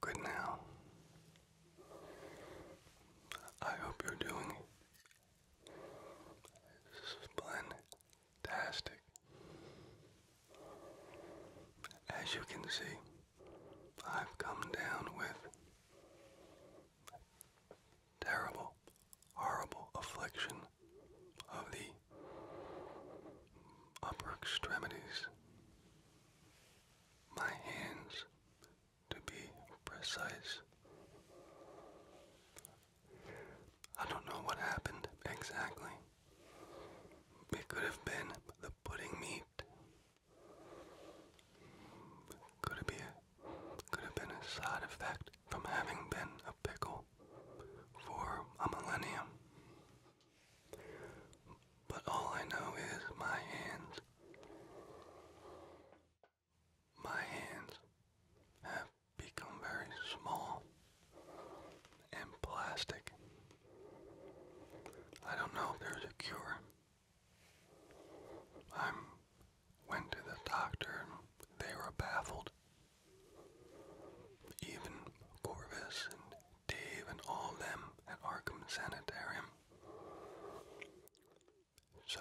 Good now. I hope you're doing splendastic. As you can see, I've come down with terrible, horrible affliction of the upper extremities, my hands to be precise. I don't know what happened exactly. It could have been the pudding meat. Could it be could have been a side effect from having been a pickle for a millennium. But all I know is my hands, my hands have become very small and plastic. I don't know if there's a cure. I went to the doctor they were baffled. Even Corvus Dave and all them at Arkham Sanitarium. So,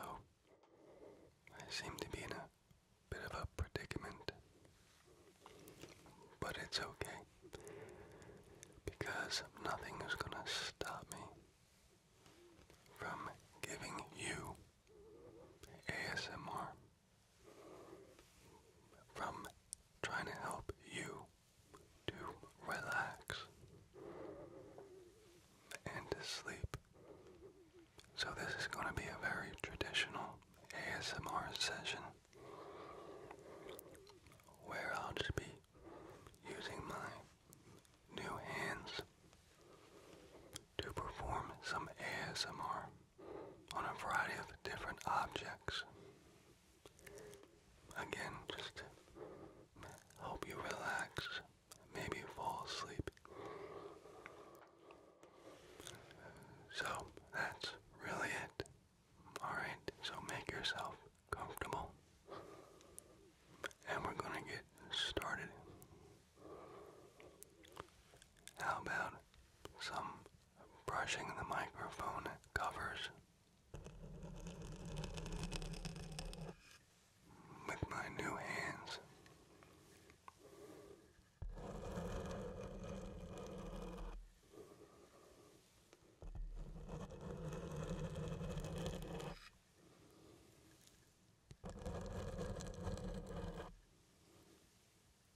I seem to be in a bit of a predicament. But it's okay. Because nothing is gonna stop me from giving you ASMR from trying to help you to relax and to sleep. So, this is going to be a very traditional ASMR session where I'll just be using my new hands to perform some ASMR on a variety of different objects. Again, just to you relax, maybe fall asleep. So that's really it. Alright, so make yourself comfortable. And we're going to get started. How about some brushing the microphone covers with my new hands.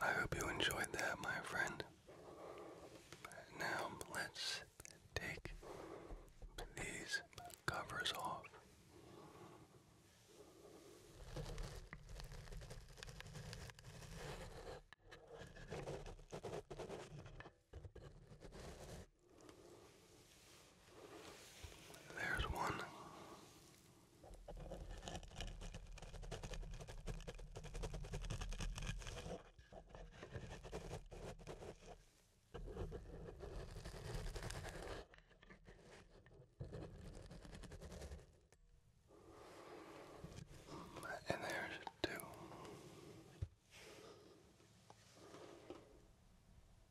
I hope you enjoyed that, my friend. Now let's take these covers off. There's one. And there's two.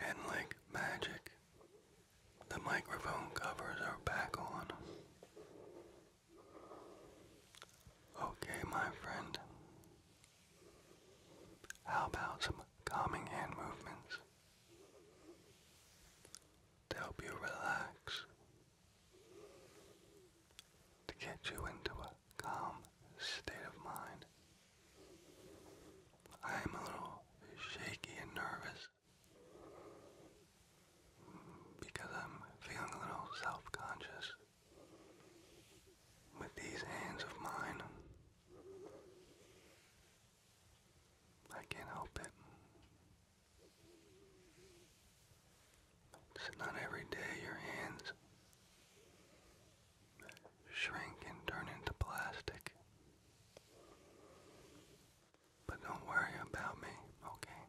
And like magic, the microphone covers are back on. Okay, my friend. How about some calming hand movements to help you relax to get you into a calm state of mind. I am a little shaky and nervous because I'm feeling a little self-conscious with these hands of mine. I can't help it. It's not every day your hands shrink and turn into plastic. But don't worry about me, okay?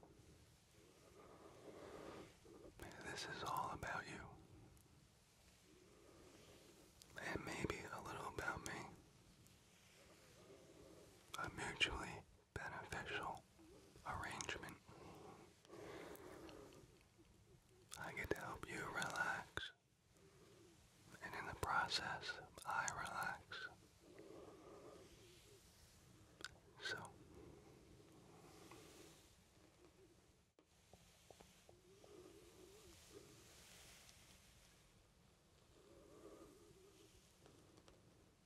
This is all about you. And maybe a little about me. A mutually beneficial arrangement. I get to help you relax, and in the process, I relax. So,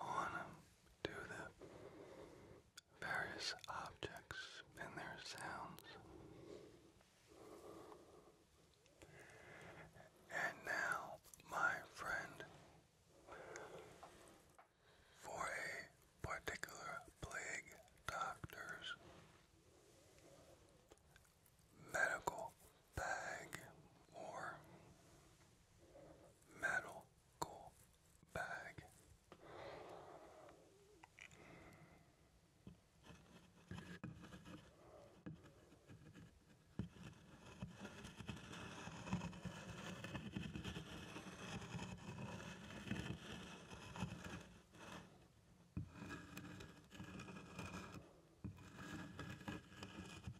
on to the various objects and their sounds. And now, my friend, for a particular plague doctor's medical bag or metal cool bag.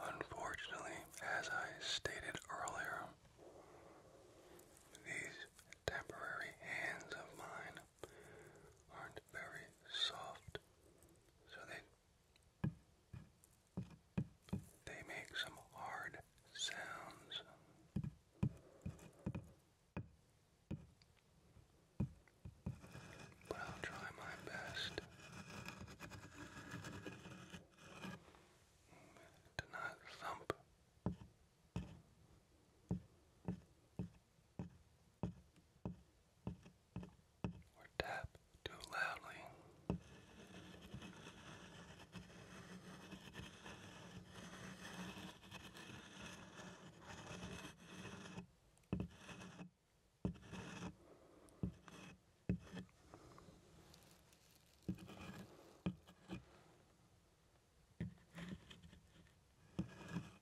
Unfortunately, as I stated earlier, these temporary hands of mine aren't very soft, so they they make some hard sounds. But I'll try my best to not thump or tap too loudly.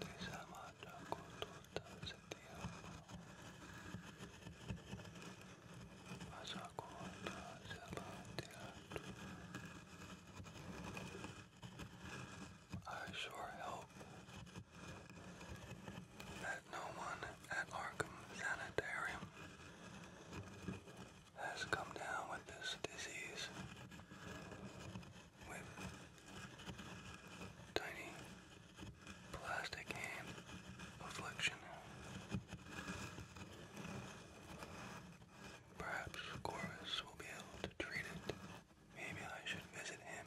대사마다 고토다 세티아 마사고다 세바티아도 I sure hope that no one at Arkham Sanitarium has come down with this disease with tiny plastic hand affliction. Perhaps Corvus will be able to treat it. Maybe I should visit him.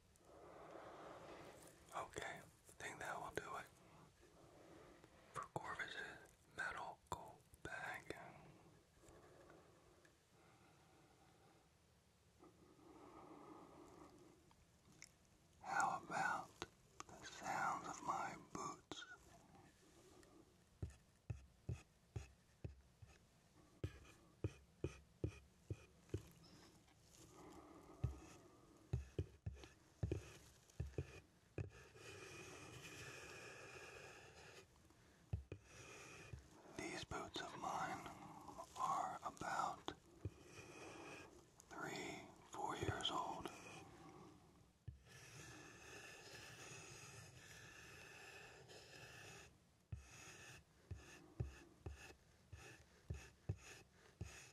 Okay, I think that will do it for Corvus's metal gold bag. How about the sounds of my boots? These boots of mine are about three, four years old.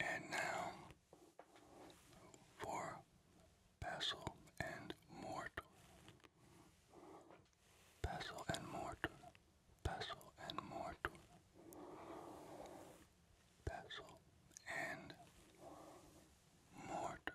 And now for Basil and Mort. Basil and Mort. Basil and Mort. Basil and mortar.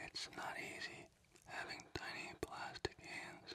It's not easy having tiny plastic hands.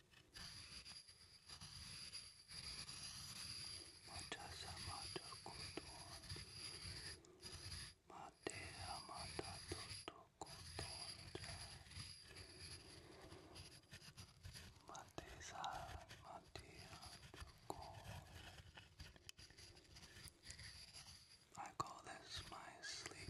様とことまてはまたととことんじゃまてさまてはとこ I call this my sleep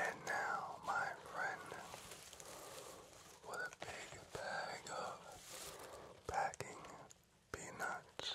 And now, my friend, with a big bag of packing peanuts.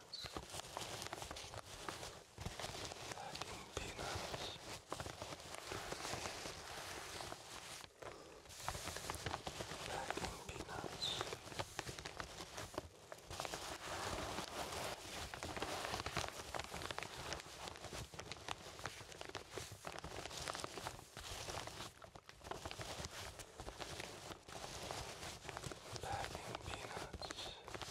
peanuts. Packing peanuts. Packing peanuts. Packing peanuts.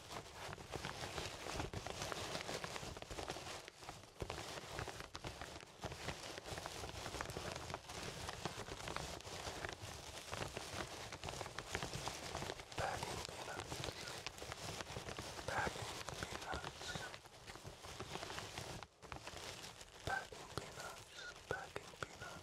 Packing peanuts. Packing peanuts. Packing peanuts. Packing peanuts.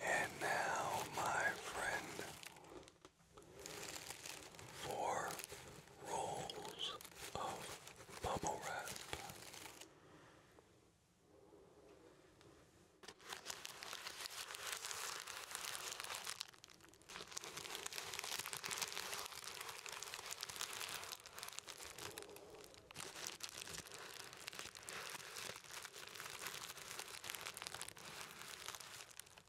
And now, my friend, Four rolls of bubble wrap.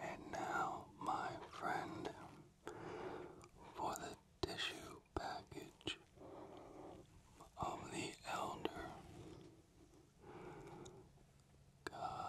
And now, my friend, for the tissue package of the elder. Gods.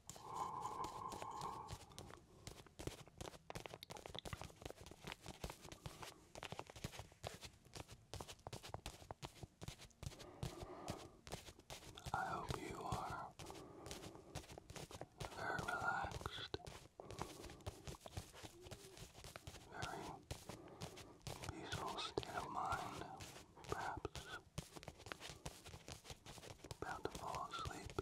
I hope you are very relaxed, very peaceful state of mind, perhaps about to fall asleep.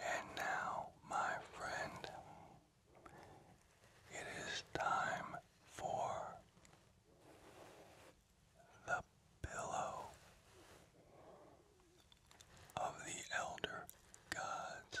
And now, my friend, it is time for the pillow of the elder gods.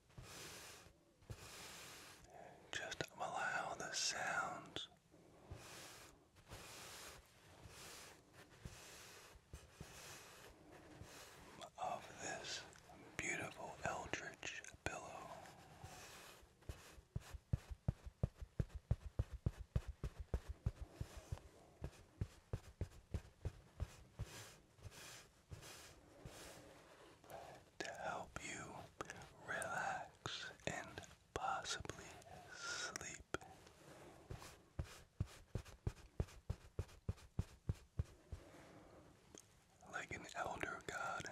Just allow the sounds of this beautiful eldritch pillow to help you relax and possibly sleep. Like an elder god.